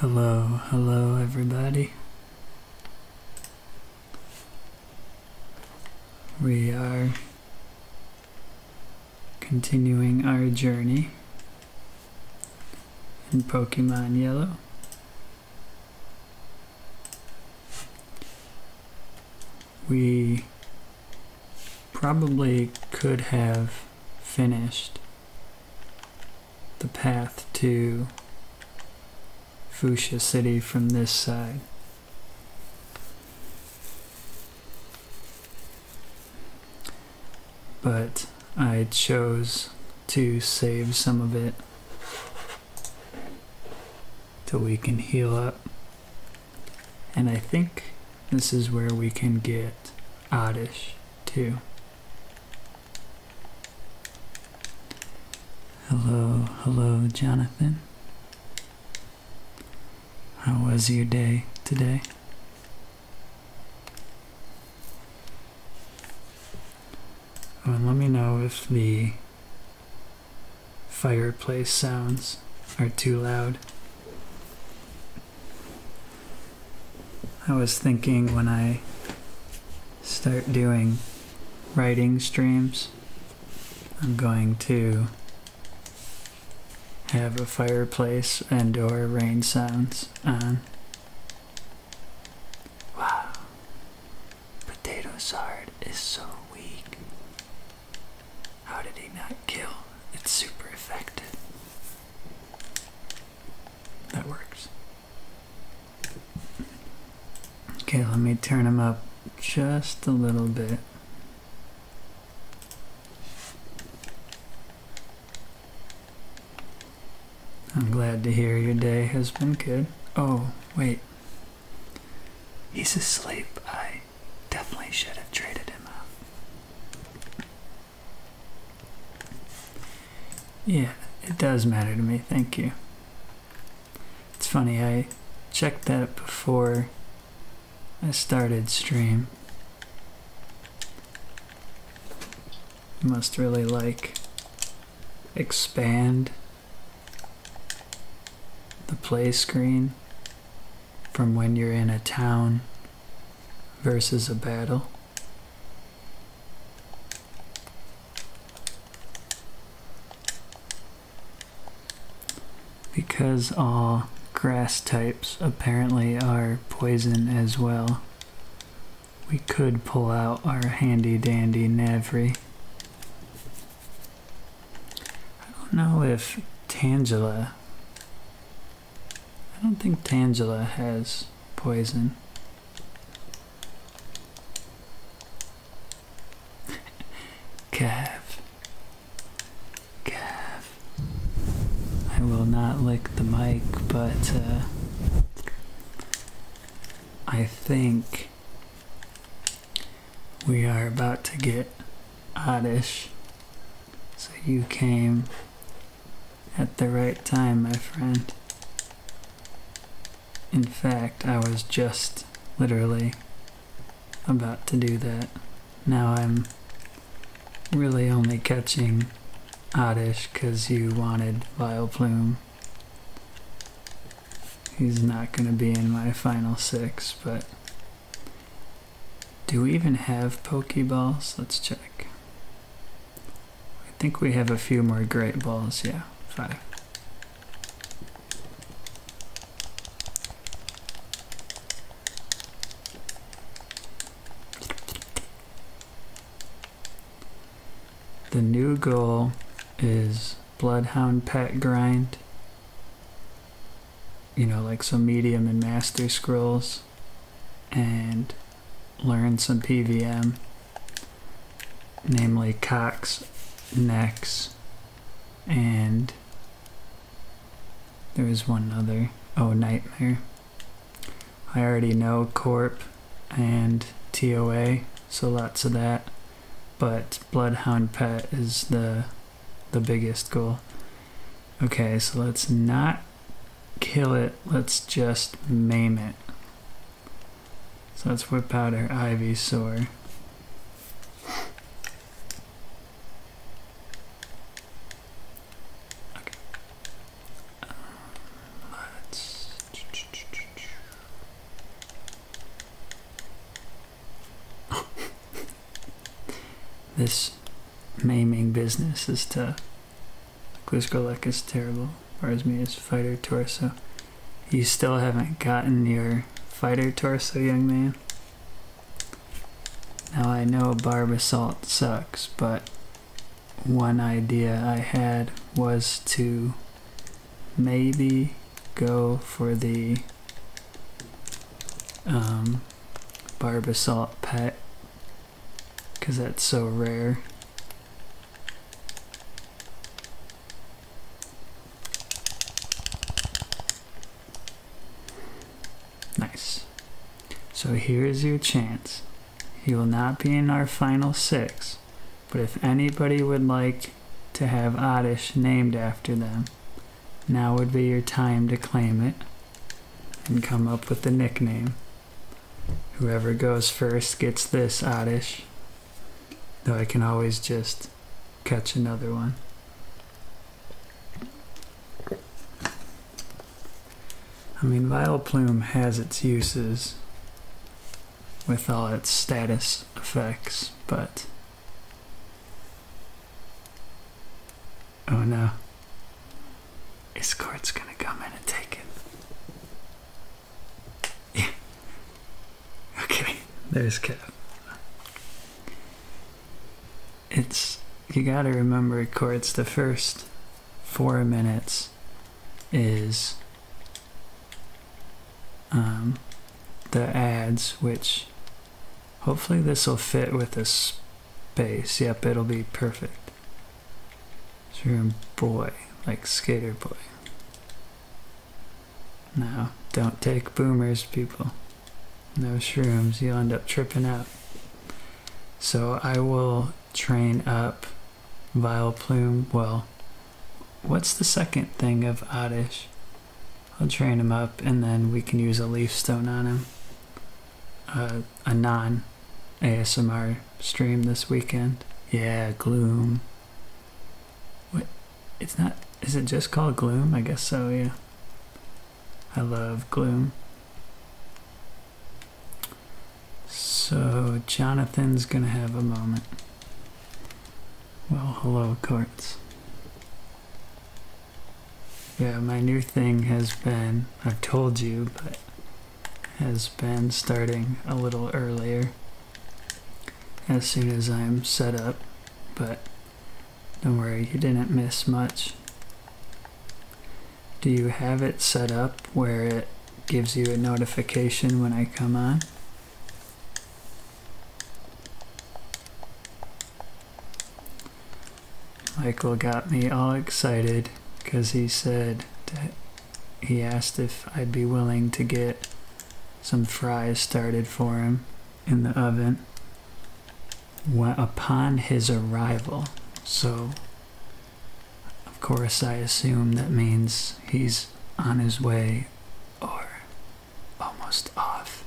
Hello, hello everybody. We are continuing our journey in Pokemon Yellow. We probably could have finished the path to Fushia City from this side. But I chose to save some of it till we can heal up. And I think this is where we can get oddish too. Hello, hello, Jonathan. How was your day today? Oh, let me know if the fireplace sounds are too loud. I was thinking when I start doing writing streams, I'm going to have a fireplace and or rain sounds on. Wow. Potato Sard is so weak. How did he not kill? It's super effective that works. Okay, let me turn him up just a little bit. I'm glad to hear your day has been good. Oh, wait. He's asleep. I definitely should have traded him out. Yeah, it does matter to me. Thank you. It's funny, I checked that before I started stream. must really like expand the play screen from when you're in a town versus a battle. Because all grass types apparently are poison as well, we could pull out our handy dandy Navri. I don't know if Tangela I don't think Tangela has poison. Cav. Cav. I will not lick the mic, but uh, I think we are about to get oddish. So you came at the right time, my friend. In fact, I was just literally about to do that. Now I'm really only catching Oddish because you wanted Vileplume. He's not going to be in my final six, but... Do we even have Pokeballs? Let's check. I think we have a few more great balls. Yeah, five. The new goal is Bloodhound Pet Grind. You know, like some medium and master scrolls and learn some PVM, namely Cox, Nex, and there is one other. Oh, Nightmare. I already know Corp and TOA, so lots of that. But Bloodhound Pet is the the biggest goal. Okay, so let's not kill it, let's just maim it. So let that's Whip our Ivy, Sore. this maiming business is to Gliskolek is terrible. Bars me his fighter torso. You still haven't gotten your fighter torso, young man? Now I know barb sucks, but one idea I had was to maybe go for the um, pet because that's so rare. Nice. So here is your chance. You will not be in our final six, but if anybody would like to have Oddish named after them, now would be your time to claim it and come up with a nickname. Whoever goes first gets this oddish. Though I can always just catch another one. I mean, Vileplume has its uses with all its status effects, but... Oh no. Escort's gonna come in and take it. Yeah. Okay, there's Kev. It's you gotta remember chords the first four minutes is um, the ads which hopefully this will fit with the space yep it'll be perfect so you're a boy, like skater boy. No, don't take boomers, people. No shrooms, you'll end up tripping up. So I will train up Vile Plume. Well, what's the second thing of Oddish? I'll train him up and then we can use a leaf stone on him. Uh, a, non ASMR stream this weekend. Yeah, Gloom. What? It's not. Is it just called Gloom? I guess so, yeah. I love Gloom. So, Jonathan's gonna have a moment. Well, hello, Courts. Yeah, my new thing has been, I've told you, but has been starting a little earlier as soon as I'm set up, but don't worry, you didn't miss much. Do you have it set up where it gives you a notification when I come on? Michael got me all excited because he said he asked if I'd be willing to get some fries started for him in the oven upon his arrival. So, of course, I assume that means he's on his way or almost off.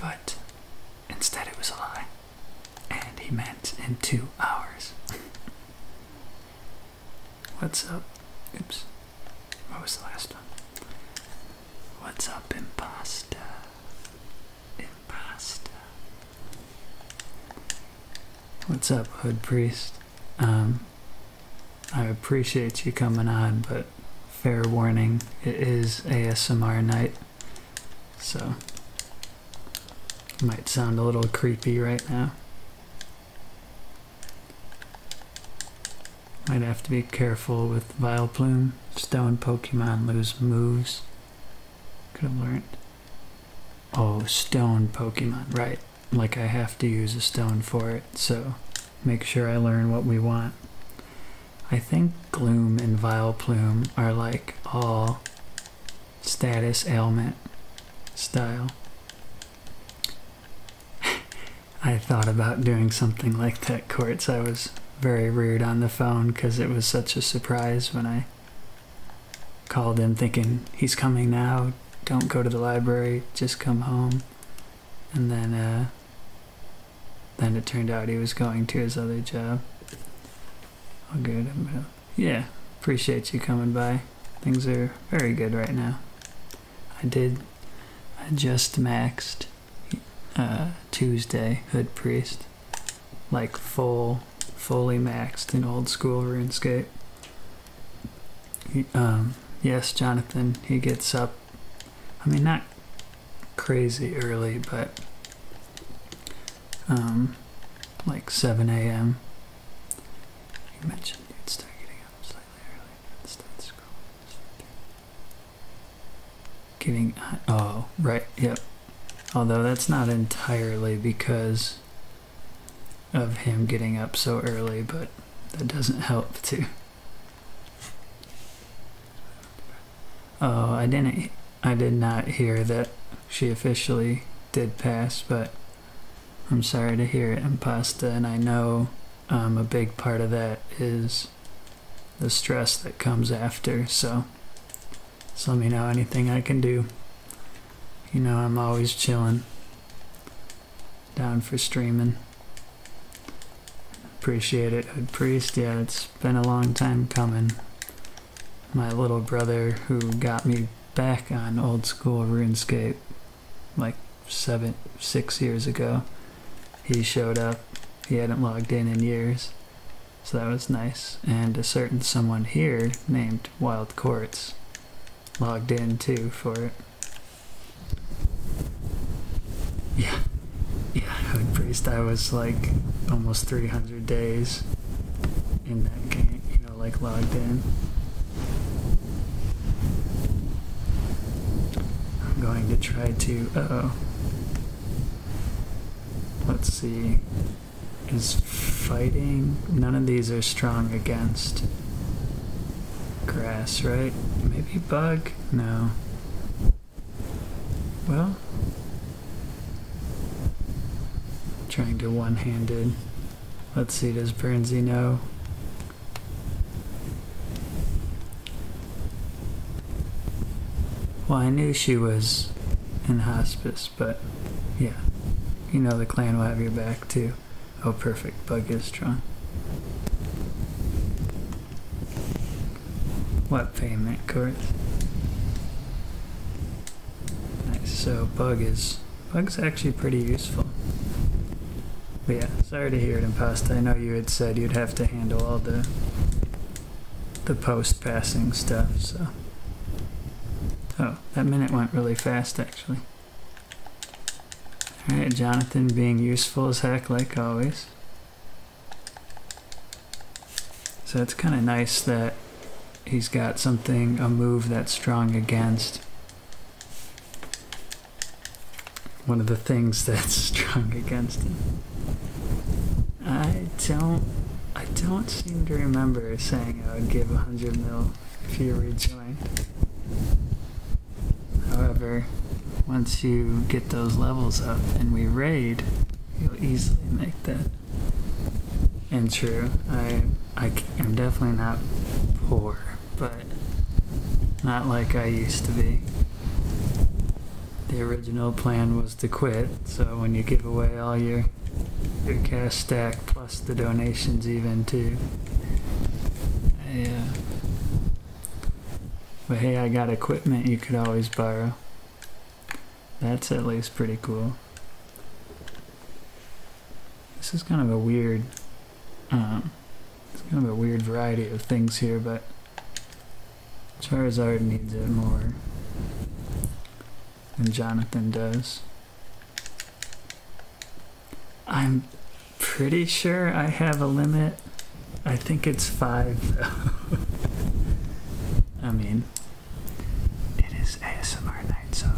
But instead, it was a lie. And he meant in two hours. What's up? Oops. What was the last one? What's up, impasta? Impasta. What's up, Hood Priest? Um, I appreciate you coming on, but fair warning, it is ASMR night. So, might sound a little creepy right now. Might have to be careful with Vileplume. Stone Pokemon lose moves. Could have learned. Oh, stone Pokemon, right. Like I have to use a stone for it, so make sure I learn what we want. I think Gloom and Vileplume are like all status ailment style. I thought about doing something like that, Courts. I was very rude on the phone because it was such a surprise when I called him thinking, he's coming now, don't go to the library, just come home. And then, uh, then it turned out he was going to his other job. I'm gonna yeah, appreciate you coming by. Things are very good right now. I did, I just maxed uh, Tuesday Hood Priest, like full, fully maxed in old school RuneScape. um, yes, Jonathan, he gets up. I mean, not crazy early, but um, like 7 a.m. You mentioned you'd start getting up slightly early and start scrolling. Getting oh right yep. Although that's not entirely because of him getting up so early, but that doesn't help too. Oh, I didn't I did not hear that she officially did pass, but I'm sorry to hear it, Impasta, and I know um, a big part of that is the stress that comes after, so just let me know anything I can do. You know I'm always chilling, down for streaming. Appreciate it, Hood Priest. Yeah, it's been a long time coming my little brother who got me back on old school RuneScape like seven, six years ago. He showed up. He hadn't logged in in years. So that was nice. And a certain someone here named Wild Courts logged in too for it. Yeah. Yeah, Hood Priest, I was like almost 300 days in that game, you know, like logged in. I'm going to try to, oh. Let's see. Is fighting. None of these are strong against grass, right? Maybe bug? No. Well, Trying to one-handed. Let's see, does Bernsey know? Well, I knew she was in hospice, but yeah. You know the clan will have your back too. Oh, perfect. Bug is strong. What payment, course? Nice, so bug is, bug's actually pretty useful. But yeah, sorry to hear it Impasta. I know you had said you'd have to handle all the the post-passing stuff, so. Oh, that minute went really fast actually. Alright, Jonathan being useful as heck like always. So it's kind of nice that he's got something, a move that's strong against. One of the things that's strong against him. I don't, I don't seem to remember saying I would give 100 mil if you rejoined. However, once you get those levels up and we raid, You'll easily make that. And true, I, I am definitely not poor, but not like I used to be. The original plan was to quit, so when you give away all your your cash stack plus the donations even too. Yeah. But hey, I got equipment you could always borrow. That's at least pretty cool. This is kind of a weird, um, kind of a weird variety of things here, but Charizard needs it more than Jonathan does. I'm pretty sure I have a limit. I think it's five, I mean, it is ASMR night, so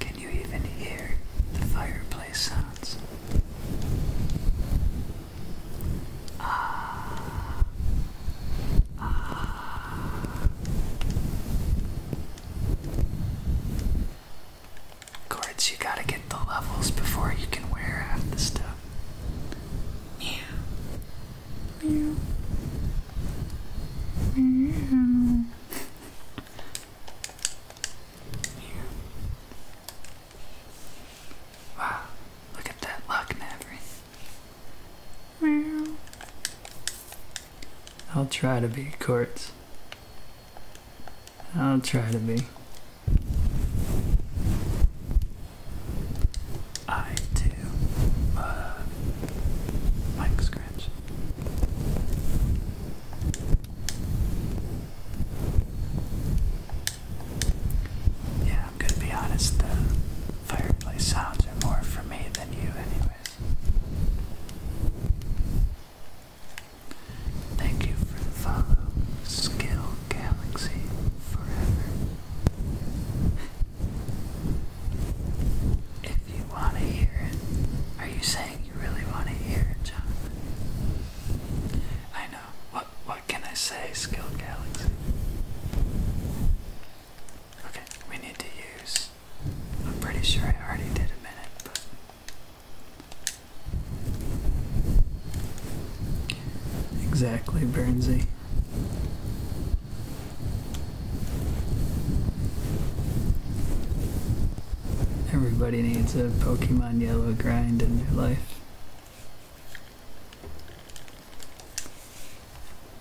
Can you even hear the fireplace sounds? Ah. you gotta get the levels before you can wear half the stuff. Yeah. Yeah. Yeah. Wow, look at that luck, Maverick. Meow. I'll try to be, Quartz. I'll try to be. I too love mic scratch. Yeah, I'm gonna be honest, the fireplace sounds are more for me than you, anyways. Thank you for the follow, Skill Galaxy Forever. If you want to hear it, are you saying you really want to hear it, John? I know what what can I say, Skill Galaxy? Okay, we need to use. I'm pretty sure I already did a minute, but exactly, Bernsey. Everybody needs a Pokemon Yellow grind in their life.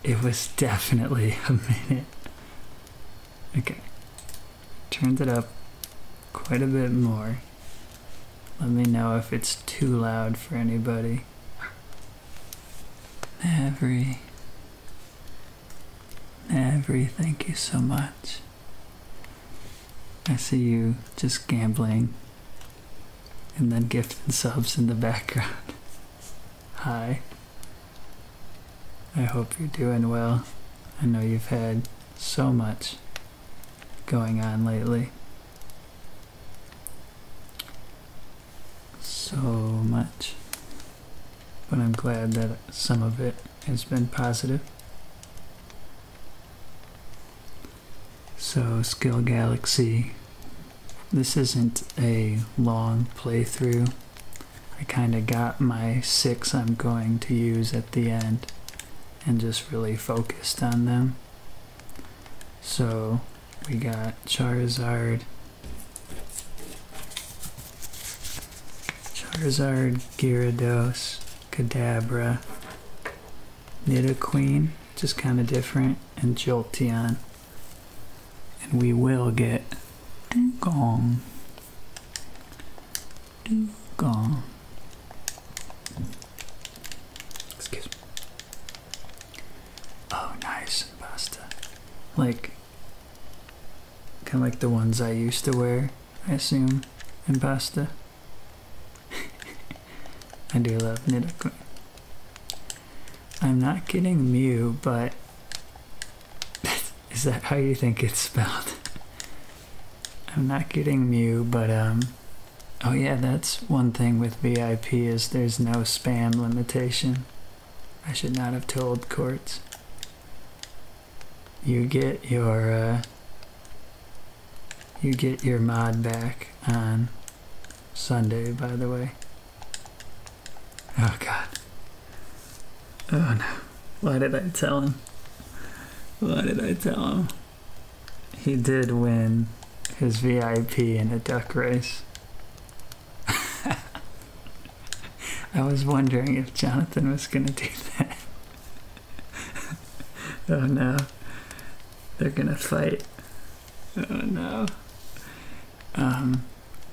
It was definitely a minute. Okay. Turned it up quite a bit more. Let me know if it's too loud for anybody. Every. Every, thank you so much. I see you just gambling and then gift subs in the background. Hi. I hope you're doing well. I know you've had so much going on lately. So much. But I'm glad that some of it has been positive. So, Skill Galaxy. This isn't a long playthrough. I kind of got my six I'm going to use at the end and just really focused on them. So, we got Charizard. Charizard, Gyarados, Kadabra, Queen, just kind of different, and Jolteon. And we will get Dugong. Dugong. Excuse me. Oh, nice, pasta. Like, kind of like the ones I used to wear, I assume, in pasta. I do love Nidoqueen. I'm not kidding Mew, but is that how you think it's spelled? I'm not kidding Mew, but um oh yeah, that's one thing with VIP is there's no spam limitation. I should not have told courts. You get your uh, you get your mod back on Sunday, by the way. Oh, God. Oh, no. Why did I tell him? Why did I tell him? He did win his VIP in a duck race. I was wondering if Jonathan was going to do that. oh no. They're going to fight. Oh no. Um,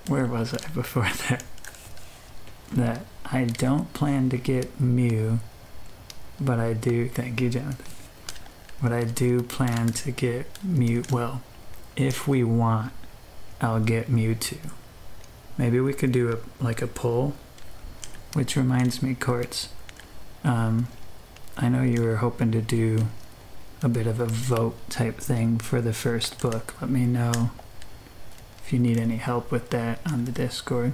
where was I before that? That I don't plan to get mute, but I do. Thank you, Jonathan. But I do plan to get mute. Well, if we want, I'll get mute too. Maybe we could do a like a poll. which reminds me, Courts. Um, I know you were hoping to do a bit of a vote type thing for the first book. Let me know if you need any help with that on the Discord.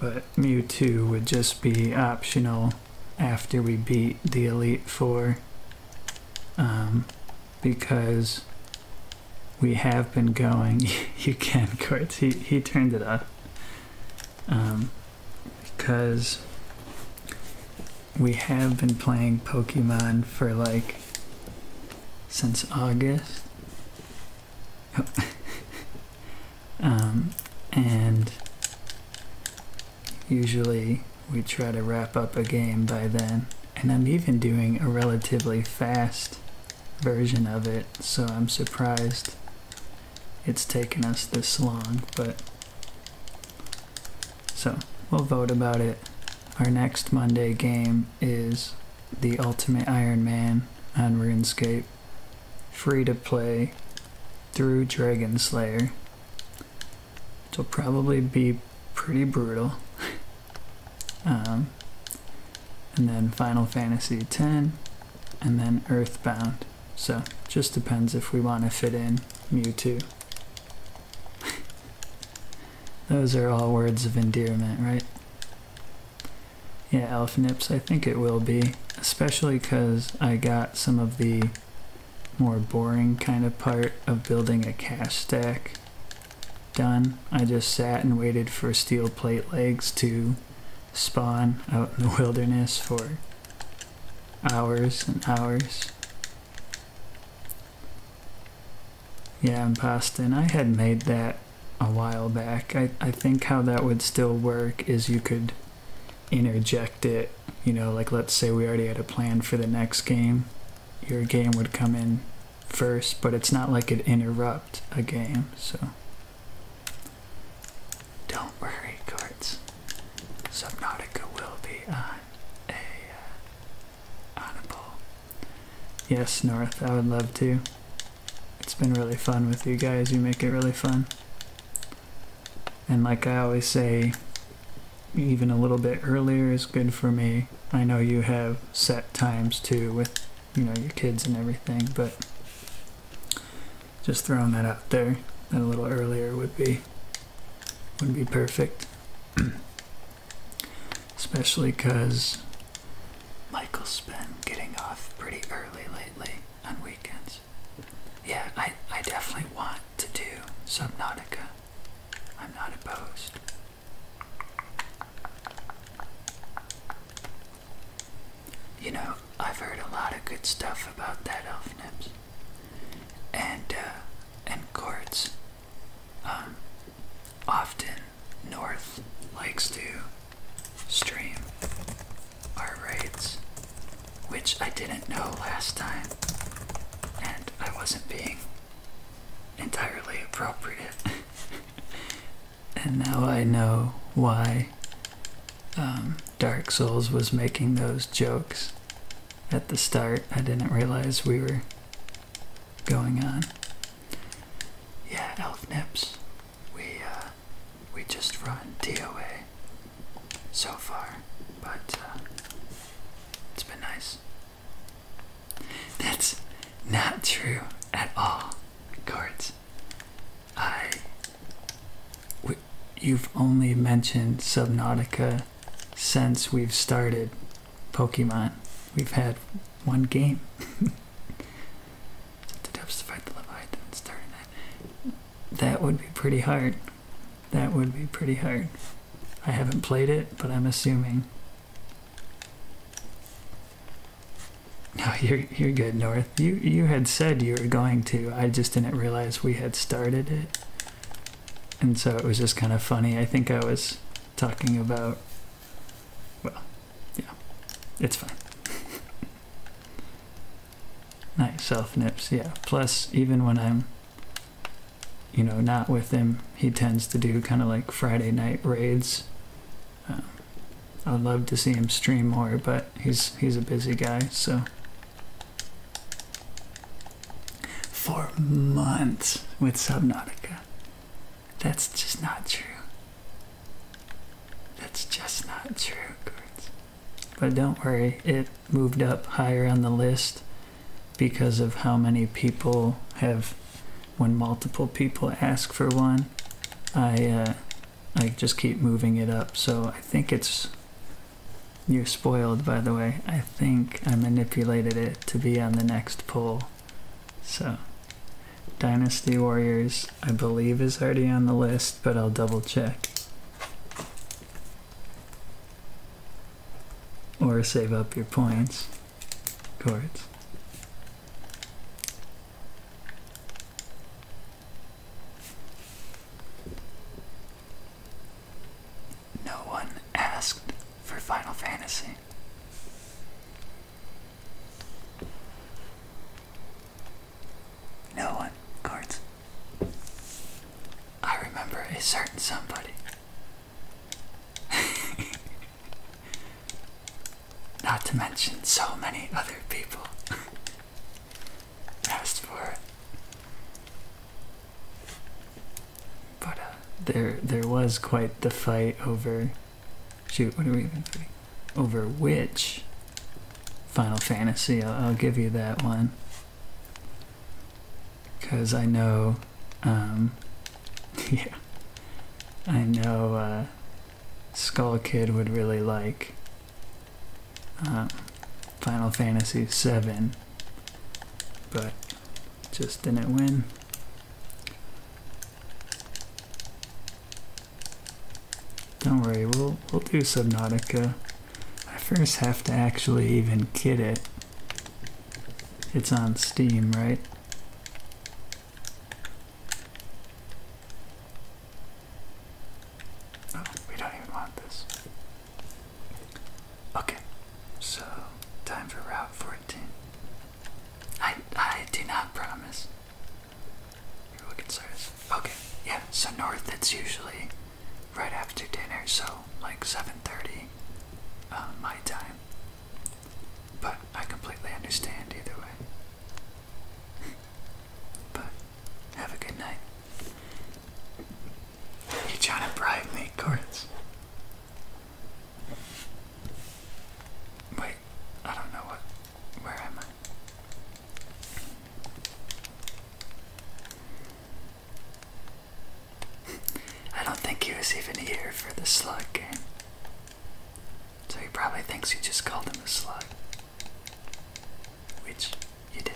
But two would just be optional after we beat the Elite Four um, because we have been going. you can, Quartz. He, he turned it up. Um, because we have been playing Pokemon for like since August. um, and usually we try to wrap up a game by then. And I'm even doing a relatively fast version of it, so I'm surprised it's taken us this long, but so we'll vote about it. Our next Monday game is the Ultimate Iron Man on RuneScape, free to play through Dragon Slayer, which will probably be pretty brutal. Um, and then Final Fantasy 10, and then Earthbound. So just depends if we want to fit in Mewtwo. Those are all words of endearment, right? Yeah, Elf Nips. I think it will be, especially because I got some of the more boring kind of part of building a cash stack done. I just sat and waited for steel plate legs to spawn out in the wilderness for hours and hours. Yeah, in And I had made that a while back. I, I think how that would still work is you could interject it, you know, like let's say we already had a plan for the next game. Your game would come in first, but it's not like it interrupt a game, so don't worry, cards. Subnautica will be on a uh, Yes, North, I would love to. It's been really fun with you guys. You make it really fun. And like I always say, even a little bit earlier is good for me. I know you have set times too with you know your kids and everything, but just throwing that out there a little earlier would be would be perfect. Especially because Michael's been getting off pretty early lately on weekends. Yeah, I, I definitely want to do Subnautica. I'm not opposed. You know, I've heard a lot of good stuff about that elf nips. And, uh, and quartz. Um, often North likes to stream our raids, which I didn't know last time, and I wasn't being entirely appropriate. and now I know why um, Dark Souls was making those jokes at the start. I didn't realize we were going on. Yeah, Elf Nips, we uh, we just run DOA so far, but uh, it's been nice. That's not true at all, Cards. I. W you've only mentioned Subnautica since we've started Pokemon. We've had one game. the depths to fight the love I that. That would be pretty hard. That would be pretty hard. I haven't played it, but I'm assuming. No, you're you're good, North. You you had said you were going to. I just didn't realize we had started it, and so it was just kind of funny. I think I was talking about. Well, yeah, it's fine. nice self nips, yeah. Plus, even when I'm, you know, not with him, he tends to do kind of like Friday night raids uh, I'd love to see him stream more, but he's he's a busy guy, so for months with Subnautica. That's just not true. That's just not true, But don't worry, it moved up higher on the list because of how many people have when multiple people ask for one, I uh, I just keep moving it up. So I think it's you're spoiled, by the way. I think I manipulated it to be on the next pull. So Dynasty Warriors, I believe, is already on the list, but I'll double check. Or save up your points. cards. No one asked for Final Fantasy. No one, cards. I remember a certain somebody Not to mention so many other people asked for it. But uh, there, there was quite the fight over. Shoot, what are we even fighting? Over which Final Fantasy? I'll, give you that one. Because I know, um, yeah, I know uh, Skull Kid would really like uh, Final Fantasy VII, but just didn't win. Don't worry, we'll, we'll do Subnautica. I first have to actually even get it. It's on Steam, right? Oh, we don't even want this. Okay, so time for Route 14. I I do not promise. You're looking serious. Okay, yeah. So north, it's usually right after dinner, so like 7:30 um, uh, my time. But I completely understand either way. but have a good night. You're trying to bribe me, Cortz. Wait, I don't know what. Where am I? I don't think he was even here for the slug game. So he probably thinks you just called him a slug. Which you did.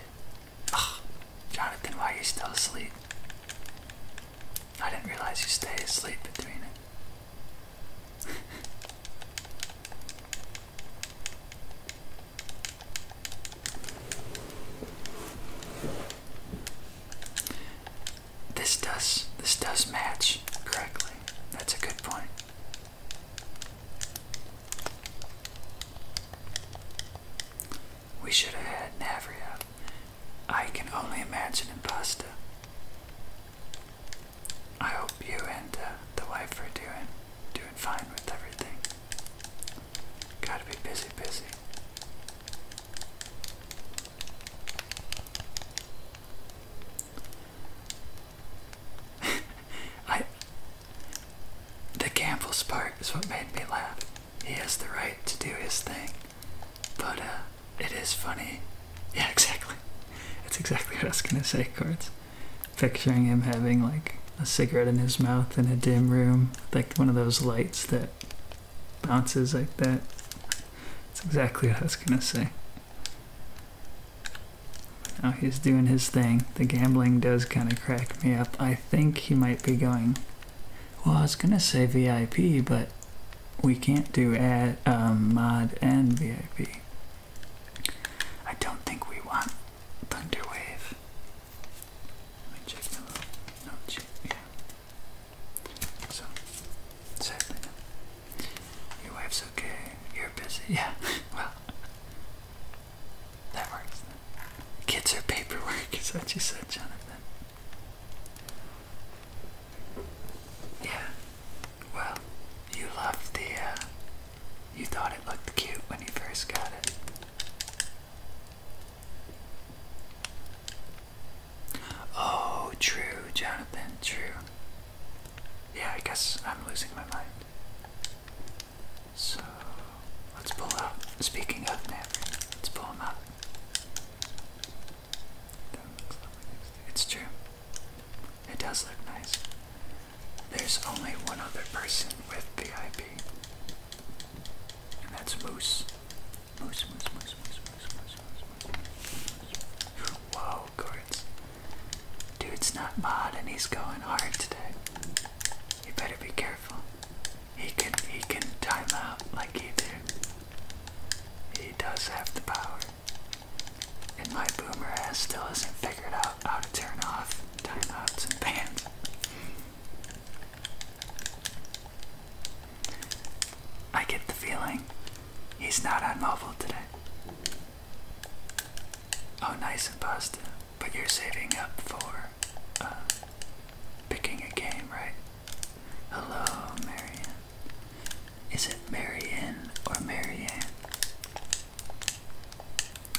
Ugh, Jonathan, why are you still asleep? I didn't realize you stay asleep between it. This does this does match correctly. That's a good point. We should have had Navria. I can only imagine Impasta. I hope you and uh, the wife are doing doing fine with everything. Gotta be busy, busy. I the Campbell's part is what made me laugh. He has the right to do his thing, but uh, it is funny. Yeah, exactly. That's exactly what I was gonna say, Cards. Picturing him having like a cigarette in his mouth in a dim room, like one of those lights that bounces like that. That's exactly what I was gonna say. Now he's doing his thing. The gambling does kind of crack me up. I think he might be going. Well, I was gonna say VIP, but we can't do ad, um, mod and VIP. I don't think we want Thunderwave. Let me check the little oh, Yeah. So, sadly, your wife's okay. You're busy. Yeah, well, that works. Kids are paperwork, is what you said, Jonathan. Yeah, well, you loved the, uh, you thought it looked cute when you first got it. Oh, true, Jonathan, true. Yeah, I guess I'm losing my mind. So let's pull out. Speaking of Maverick, let's pull him out. It's true. It does look nice. There's only one other person with VIP, and that's Moose. Moose, moose, moose, moose, moose, moose, moose, moose. moose. Whoa, Dude's not mod and he's going hard today. You better be careful. He can he can time out like he did. He does have the power. And my boomer still is not figured out how to turn off timeouts and bans. I get the feeling He's not on mobile today. Oh, nice and imposter. But you're saving up for uh, picking a game, right? Hello, Marianne. Is it Marianne or Marianne?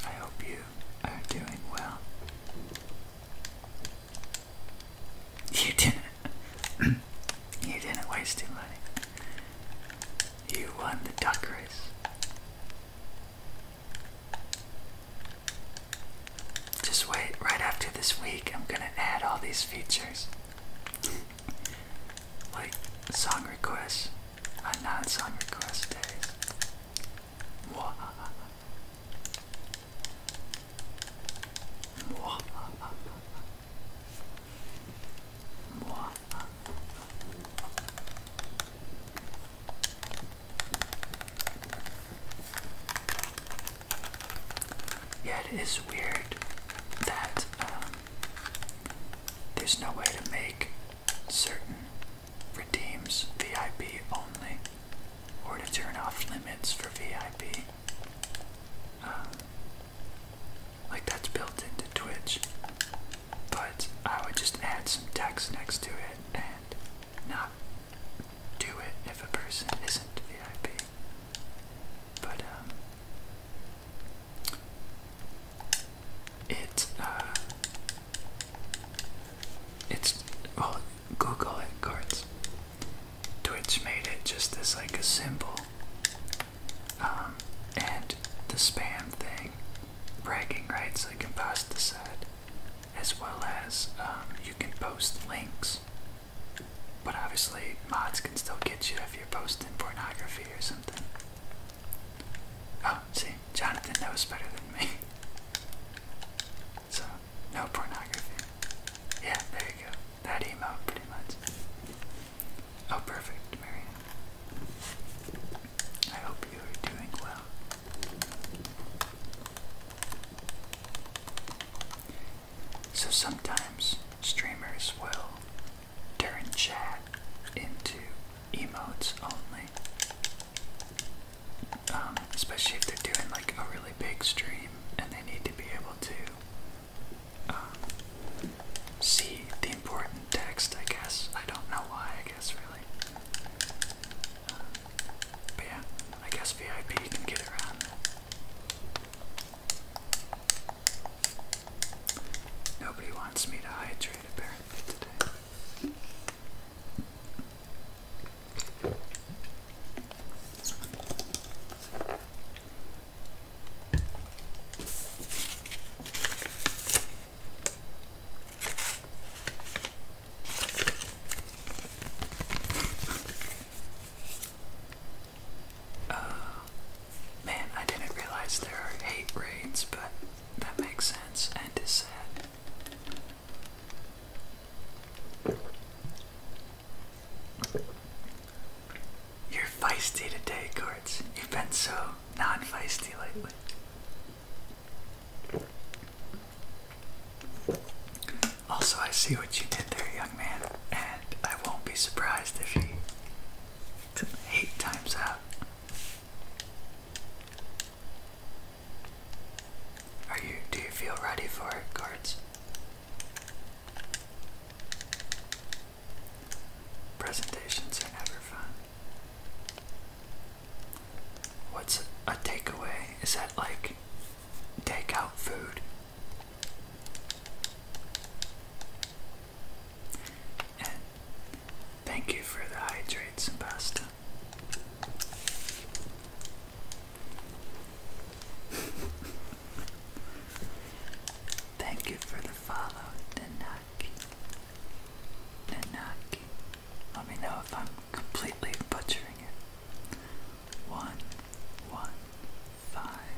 I hope you are doing well. You didn't. you didn't waste your money. You won the duck race. Just wait, right after this week, I'm gonna add all these features. like song requests on uh, non song request days. Mwah. Mwah. Yeah, it is weird that um, there's no way to make certain redeems VIP only or to turn off limits for VIP. Um, like that's built into Twitch. But I would just add some text next to it and not do it if a person isn't VIP. But um it uh it's well Google it cards. Twitch made it just as like a symbol um, and the spam thing, bragging rights like imposticide, as well as um, you can post links. But obviously, mods can still get you if you're posting pornography or something. Oh, see, Jonathan knows better than me. So, no pornography. Yeah, there you go. That email, pretty much. Oh, perfect, Marianne. I hope you are doing well. So sometimes streamers will turn chat into emotes only, um, especially if they're doing like a really big stream and they need to be able to um, see the important text, I guess. I don't know why, I guess, really. Um, yeah, I guess VIP can get around. Nobody wants me to hydrate apparently today. Uh, man, I didn't realize there are eight raids, but that makes sense and is sad. You're feisty today, guards. You've been so non feisty lately. Also, I see what you did there, young man, and I won't be surprised if you he eight times out. Are you? Do you feel ready for it, guards? Presentations are never fun. What's a takeaway? Is that like takeout food? And thank you for the hydrates pasta. Thank you for the follow, Nanaki. Nanaki. Let me know if I'm completely butchering it. One, one, five.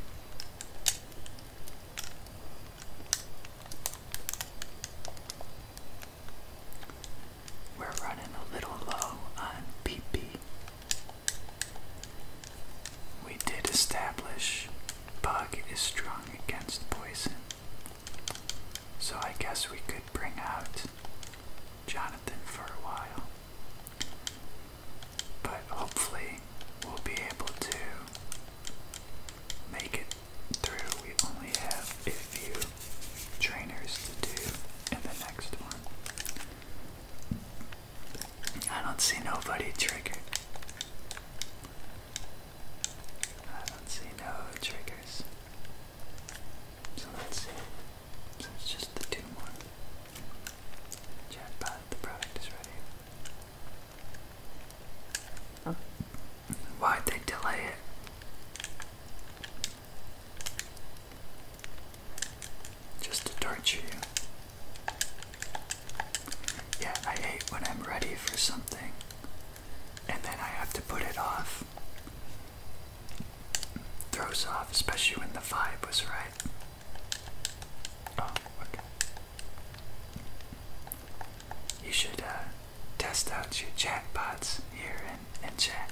We're running a little low on PP. We did establish Bug is strong against poison. So I guess we could bring out Jonathan for a while. But hopefully we'll be able to make it through. We only have a few trainers to do in the next one. I don't see nobody triggered. I don't see no triggers. So let's see. it's just the two more. Chatbot, the product is ready. Huh? Oh. Why'd they delay it? Just to torture you. Yeah, I hate when I'm ready for something and then I have to put it off. Throws off, especially when the vibe was right. Oh, okay. You should uh, test out your chat bots here in, in chat.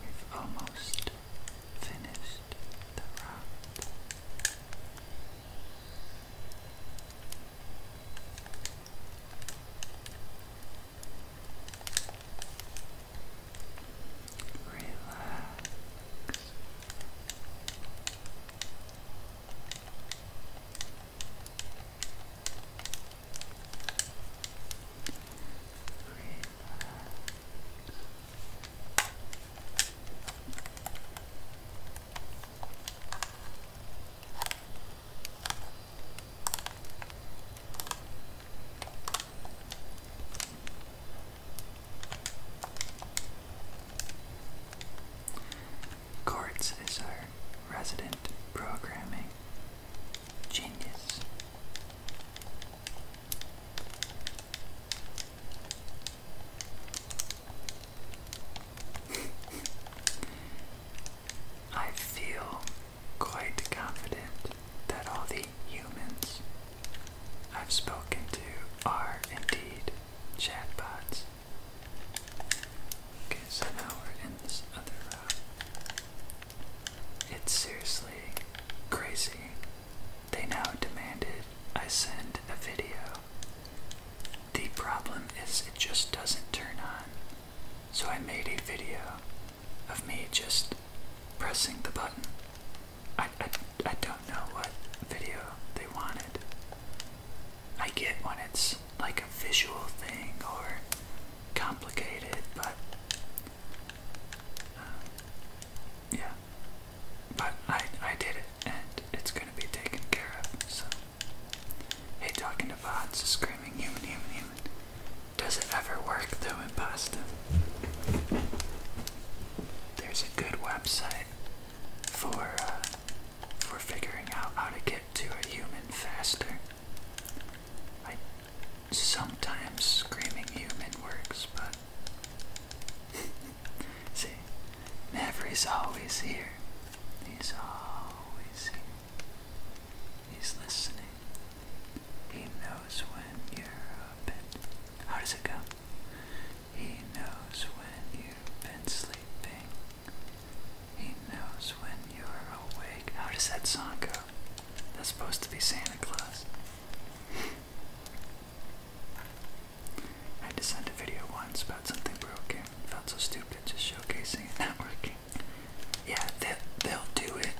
We've almost finished the round. Relax. Courts is our resident programming Genius. I feel quite confident that all the humans I've spoken to are indeed chatbots. Okay, so now we're in this other it's seriously crazy. They now demanded I send a video. The problem is it just doesn't turn on. So I made a video of me just pressing the button. I, I, I don't know what video they wanted. I get when it's like a visual thing or complicated, but um, yeah. But I I did it, and it's gonna be taken care of. So, hey, talking to bots, screaming human, human, human. Does it ever work though imposter? There's a good website for uh, for figuring out how to get to a human faster. I sometimes screaming human works, but see, is always here. He's always here. He's listening. He knows when you're up and how does it go? He knows when you've been sleeping. He knows when you're awake. How does that song go? That's supposed to be Santa Claus. I had to send a video once about something broken. Felt so stupid just showcasing it not working. Yeah, they, they'll do it.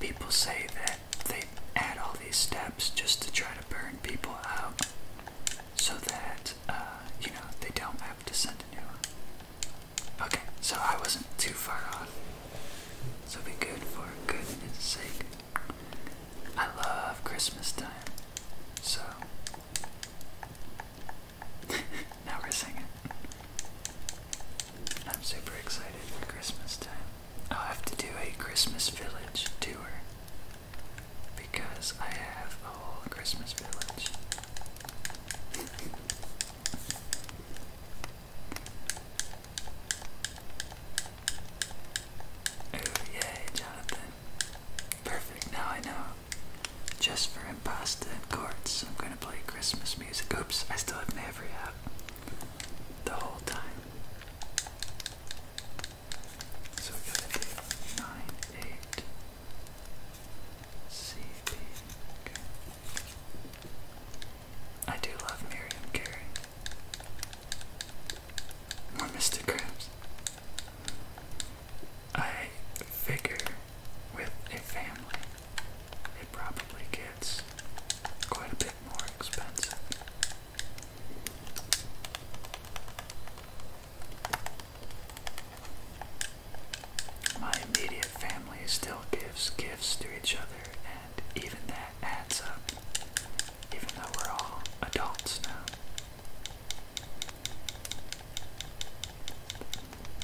People say that they add all these steps just to try to burn people out so that, uh, you know, they don't have to send a new one. Okay, so I wasn't too far off. So be good for goodness sake. I love Christmas time. So now we're singing. I'm super excited for Christmas time. I'll have to do a Christmas village tour because I have a whole Christmas village. Oh yay, Jonathan. Perfect, now I know. Just for impasta and chords, I'm gonna play Christmas music. Oops, I still have Maverick up the whole time. So we nine, eight, C, B, okay. I do love Miriam Carey. More Mr. Krabs. I figure with a family, it probably gets quite a bit more expensive. My immediate family still gives gifts to each other, and even that adds up, even though we're all adults now.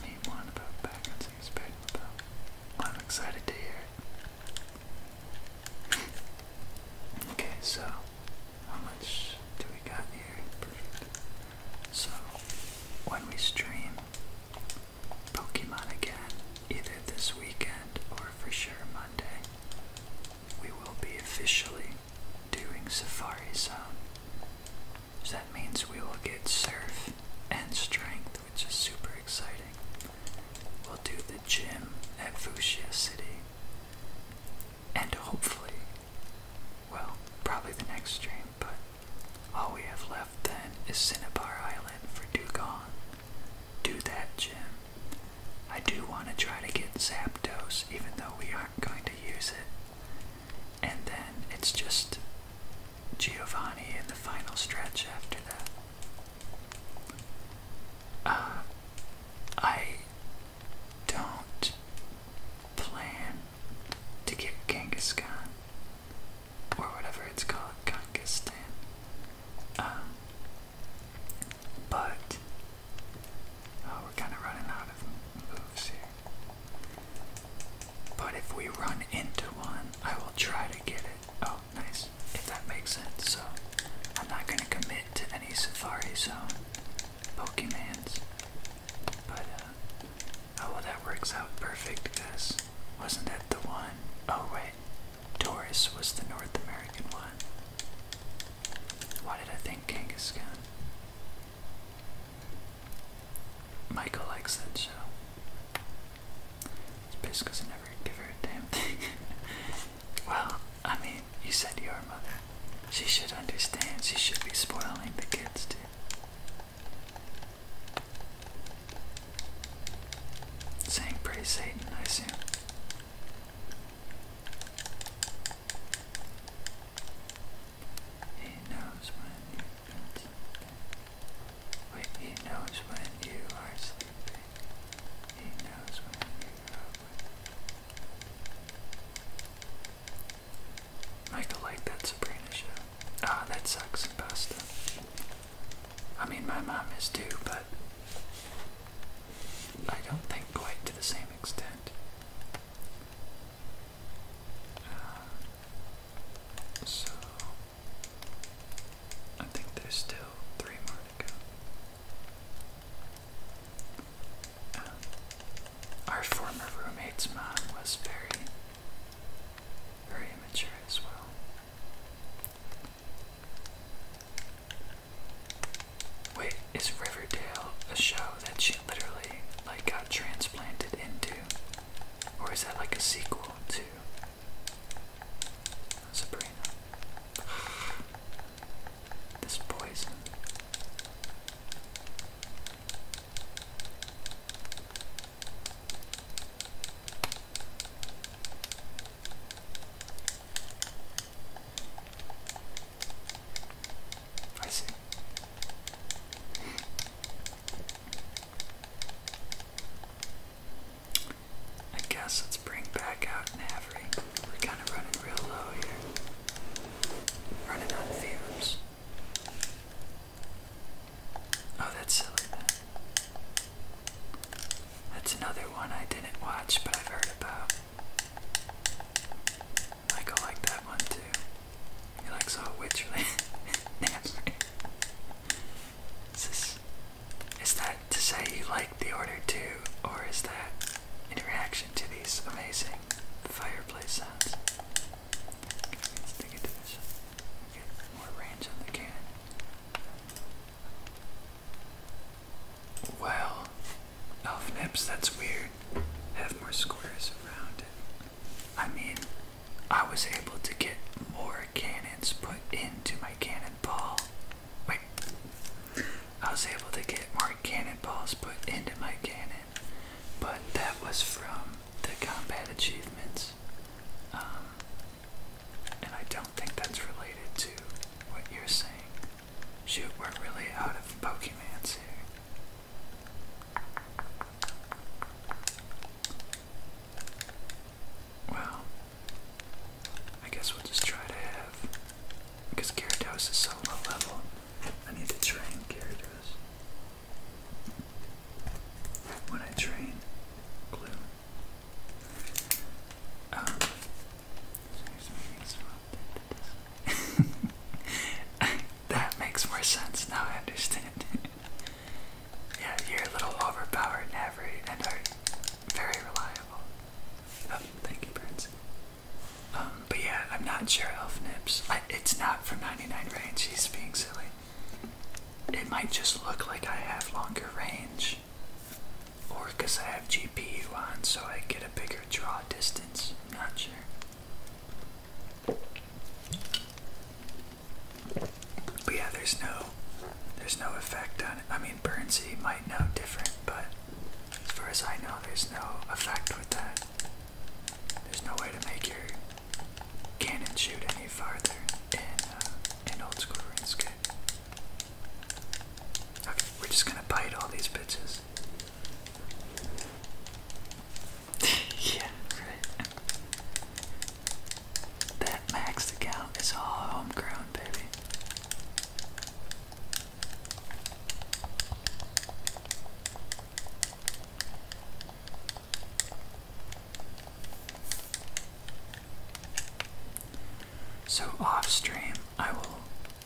Mean one about backwards is bad about. I'm excited to hear it. okay, so how much do we got here? So when we stream, Pokemon again, either this weekend or for sure Monday. We will be officially doing Safari Zone. that means we will get Surf and Strength, which is super exciting. We'll do the gym at Fuchsia City. And hopefully, well, probably the next stream, but all we have left then is Cinnabar Island for Dugon. Do that, Jim. I do want to try to get Zapdos, even though we aren't going to use it. And then it's just Giovanni in the final stretch after that. Uh, I don't plan to get Khan or whatever it's called, Kangistan. Um, but oh, we're kind of running out of moves here. But if we run into one, I will try to get it. Oh, nice. If that makes sense. So I'm not gonna commit to any Safari Zone Pokemons. Uh, oh well, that works out perfect guys. wasn't that the one? Oh, right. Taurus was the North American one. Why did I think Kangaskhan? Michael likes that show. It's based because I never give her a damn thing. well, I mean, you said your mother. She should understand. She should be spoiling the kids, too. Saying praise Satan, I assume. He knows when you've been he knows when you are sleeping. He knows when you are I still like that Sabrina show. Ah, that sucks and pasta. I mean, my mom is too, but I don't think quite to the same extent. Uh, so, I think there's still three more to go. Uh, our former roommate's mom was very very immature as well. Wait, is Riverdale a show that she literally like got transplanted into? Or is that like a sequel to Sabrina? This poison. I see. I guess let's bring back out Navery. We're kind of running real low here. Running on fumes. Oh, that's silly. That's another one I didn't watch, but I've heard about. I go like that one too. He likes all witchery. is, this, is that to say you like the order too, or is that in reaction to these amazing fireplace sounds? Okay, let's dig into this. Get elf nips, that's weird. Have more squares around it. I mean, I was able to get more cannons put into my cannonball. Wait, I was able to get more cannonballs put into my cannon, but that was from the combat achievements. Um, and I don't think that's related to what you're saying. Shoot, we're really out of Pokemans here. Well, I guess we'll just try to have. Because Gyarados is so low level, I need to train Gyarados when I train glue. Um, that makes more sense now. I understand. yeah, you're a little overpowered in every and are very reliable. Oh, thank you, Prince. Um, but yeah, I'm not sure Elf Nips. it's not from 99 range. He's being silly it might just look like I have longer range. Or because I have GPU on, so I get a bigger draw distance. I'm not sure. But yeah, there's no, there's no effect on it. I mean, Burnsy might know different, but as far as I know, there's no effect with that. There's no way to make your cannon shoot any farther in, uh, an old school RuneScape. Okay, we're just gonna bite all these bitches. yeah, That max account is all homegrown, baby. So off stream, I will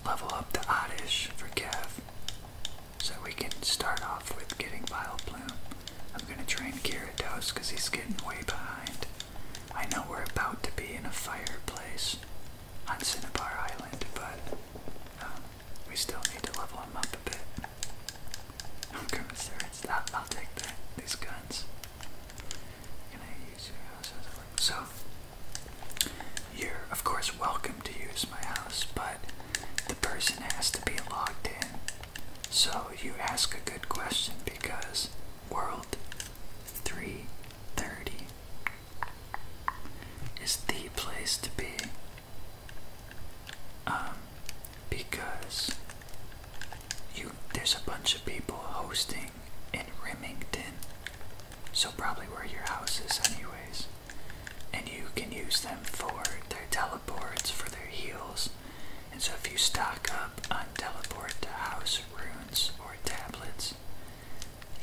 level up the Oddish for Kev so we can start off with getting Vile Plume. I'm gonna train Gyarados because he's getting way behind. I know we're about to be in a fireplace on Cinnabar Island, but um, we still need to level him up a bit. I'm going commissaries. That I'll take These guns. Can I use your house as a work? So you're of course welcome to use my house, but the person has to be logged in. So you ask a good question because World 330 is the place to be um, because you there's a bunch of people hosting in Rimington, so probably where your house is, anyways. And you can use them for their teleports, for their heels. And so if you stock up on teleport house runes or tablets,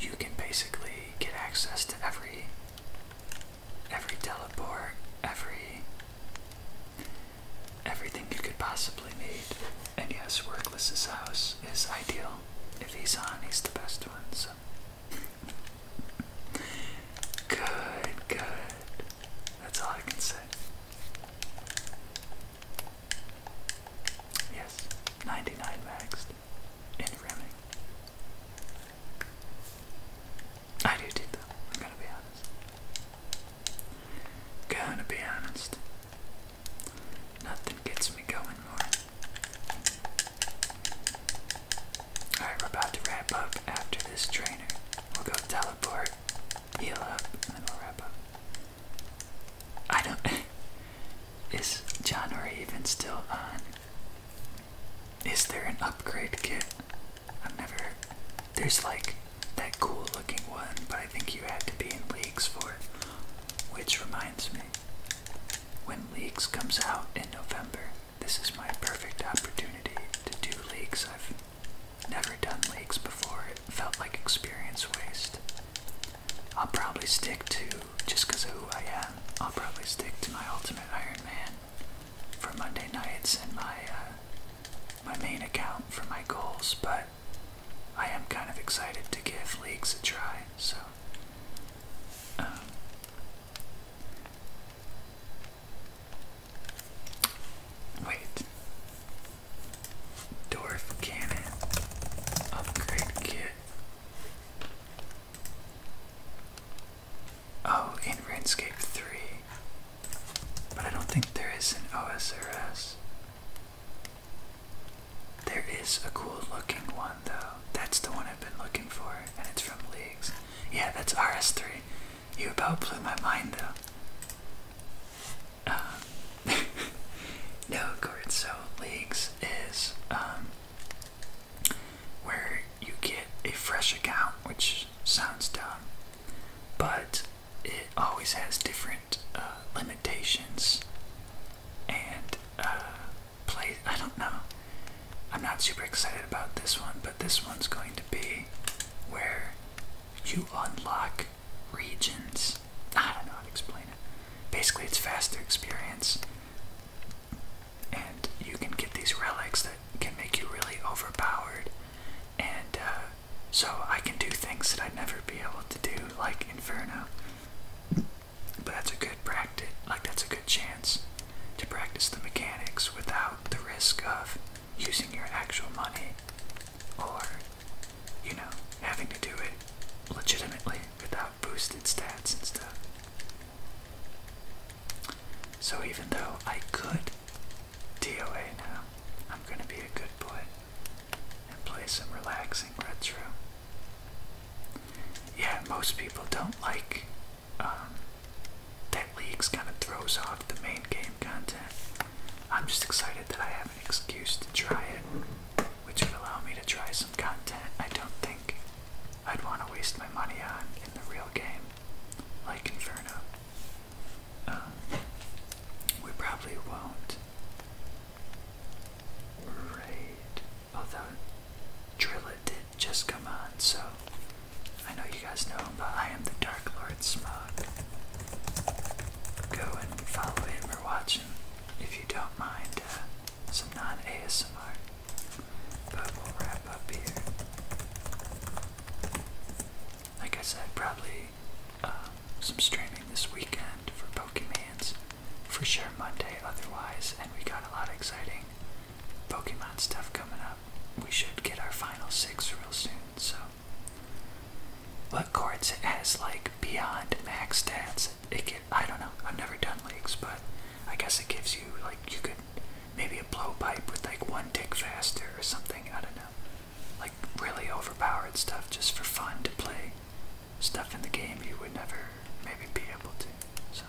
you can basically get access to every every teleport, every everything you could possibly need. And yes, Workless's house is ideal. If he's on, he's the best one, so good, good. That's all I can say. Yes, 99 maxed in rimming. I do too, though. I'm gonna be honest. Gonna be honest. Nothing gets me going more. Alright, we're about to wrap up after this trainer. We'll go teleport, heal up, and we'll wrap up. I don't. Is John Ray even still on? Is there an upgrade kit? I've never. There's like that cool looking one, but I think you have to be in leagues for it. Which reminds me, when leagues comes out in November, this is my perfect opportunity to do leagues. I've never done leagues before. It felt like experience waste. I'll probably stick to, just because of who I am, I'll probably stick to my Ultimate Iron Man for Monday nights and my uh, my main account for my goals, but I am kind of excited to give leagues a try. So, um, wait, dwarf cannon upgrade kit. Oh, in RuneScape 3. But I don't think there is an OSRS. There is a cool looking one though. That's the one I've been looking for, and it's from Leagues. Yeah, that's RS3. You about blew my mind though. Um, no, Gord, Leagues is um, where you get a fresh account, which sounds dumb, but it always has different uh, limitations and uh, play. I don't know. I'm not super excited about this one, but this one's going to be where you unlock regions. I don't know how to explain it. Basically, it's faster experience, and you can get these relics that can make you really overpowered and uh, so I can do things that I'd never be able to do, like Inferno. But that's a good practice, like that's a good chance to practice the mechanics without the risk of using your actual money or, you know, having to do it legitimately without boosted stats and stuff. So even though I could do DOA now, I'm going to be a good boy and play some relaxing retro. Yeah, most people don't like um, that leagues kind of throws off the main game content. I'm just excited that I have an excuse to try it, which would allow me to try some content I don't think I'd want to waste my money on in the real game, like Inferno. Um, we probably won't raid, although Drilla did just come on, so I know you guys know him, but I am the Dark Lord Smog. Go and follow him or watch if you don't mind uh, some non ASMR. But we'll wrap up here. Like I said, probably uh, some streaming this weekend for Pokemans. For sure, Monday otherwise, and we got a lot of exciting Pokemon stuff coming up. We should get our final six real soon, so. But Quartz has like beyond max stats. It can, I don't know, I've never done leagues, but I guess it gives you, like, you could maybe a blowpipe with like one tick faster or something. I don't know. Like really overpowered stuff just for fun to play. Stuff in the game you would never maybe be able to. So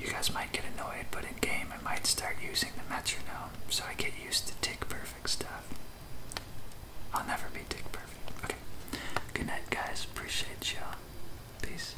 you guys might get annoyed, but in game I might start using the metronome so I get used to tick perfect stuff. I'll never be tick perfect. Okay. Good night guys. Appreciate y'all. Peace.